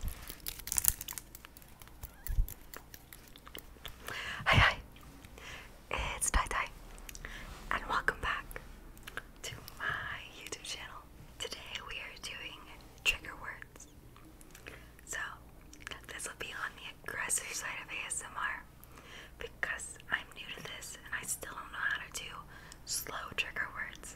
Hi hi, it's Tai Tai, and welcome back to my YouTube channel. Today we are doing trigger words. So this will be on the aggressive side of ASMR because I'm new to this and I still don't know how to do slow trigger words.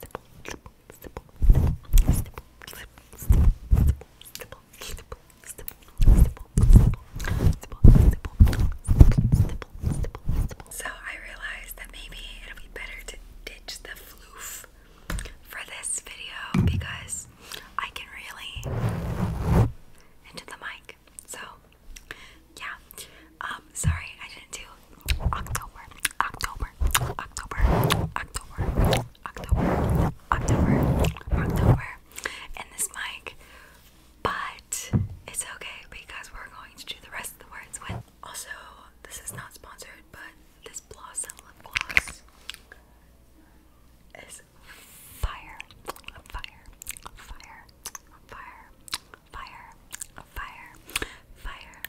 so I realized that maybe it'll be better to ditch the floof for this video because I can really into the mic. So yeah. Um, sorry, I didn't do October, October, October, October, October, October, October, in this mic. But it's okay because we're going to do the rest of the words Also, this is not sponsored, but this Blossom lip gloss is fire, fire, fire, fire, Fire, fire, fire,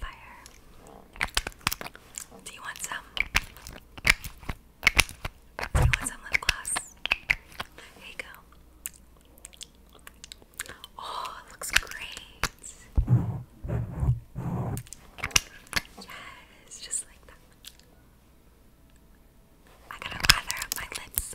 fire. Do you want some? Do you want some lip gloss? Here you go. Oh, it looks great. Yes, just like that. I gotta lather up my lips.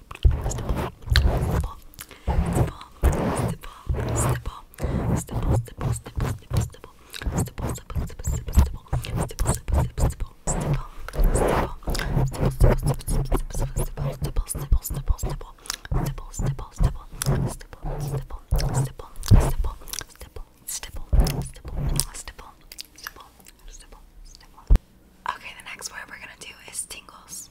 stipple, Okay, the next word we're gonna do is tingles.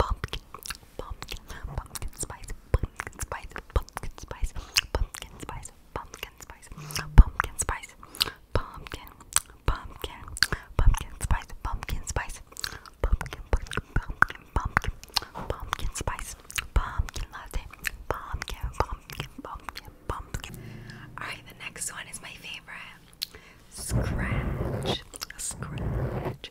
pumpkin, pumpkin, pumpkin spice, pumpkin spice, pumpkin spice, pumpkin spice, pumpkin spice, pumpkin spice, pumpkin, pumpkin, pumpkin spice, pumpkin spice, pumpkin, pumpkin, pumpkin, pumpkin, pumpkin spice, pumpkin latte, pumpkin, pumpkin, pumpkin, pumpkin. Alright, the next one is my favorite. Scratch, scratch,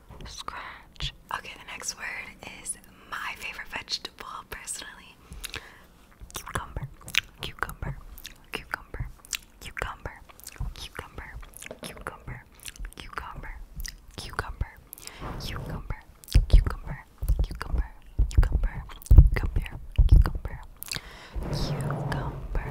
Scratch. Okay, the next word is my favorite vegetable personally. Cucumber. Cucumber. Cucumber. Cucumber. Cucumber. Cucumber. Cucumber. Cucumber. Cucumber. Cucumber. Cucumber. Cucumber. Cucumber. Cucumber. Cucumber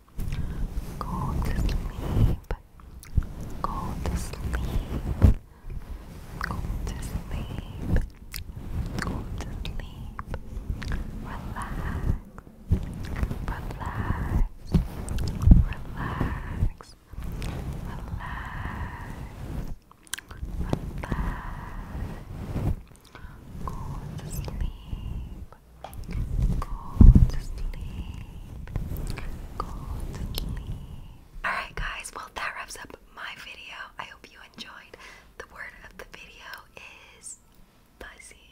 Go to sleep. Go to sleep. Go to sleep. Go to sleep. Relax. Relax. Relax. Relax. Relax. Go to sleep. Alright, guys, well, that wraps up my video. I hope you enjoyed. The word of the video is fuzzy.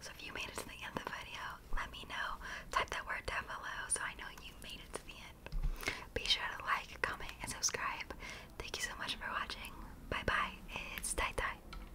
So if you made it to the end of the video, let me know. Type that word down below so I know you made it to the end. Be sure to like, comment, and subscribe. Thank you so much for watching. Bye bye. It's Tai Tai.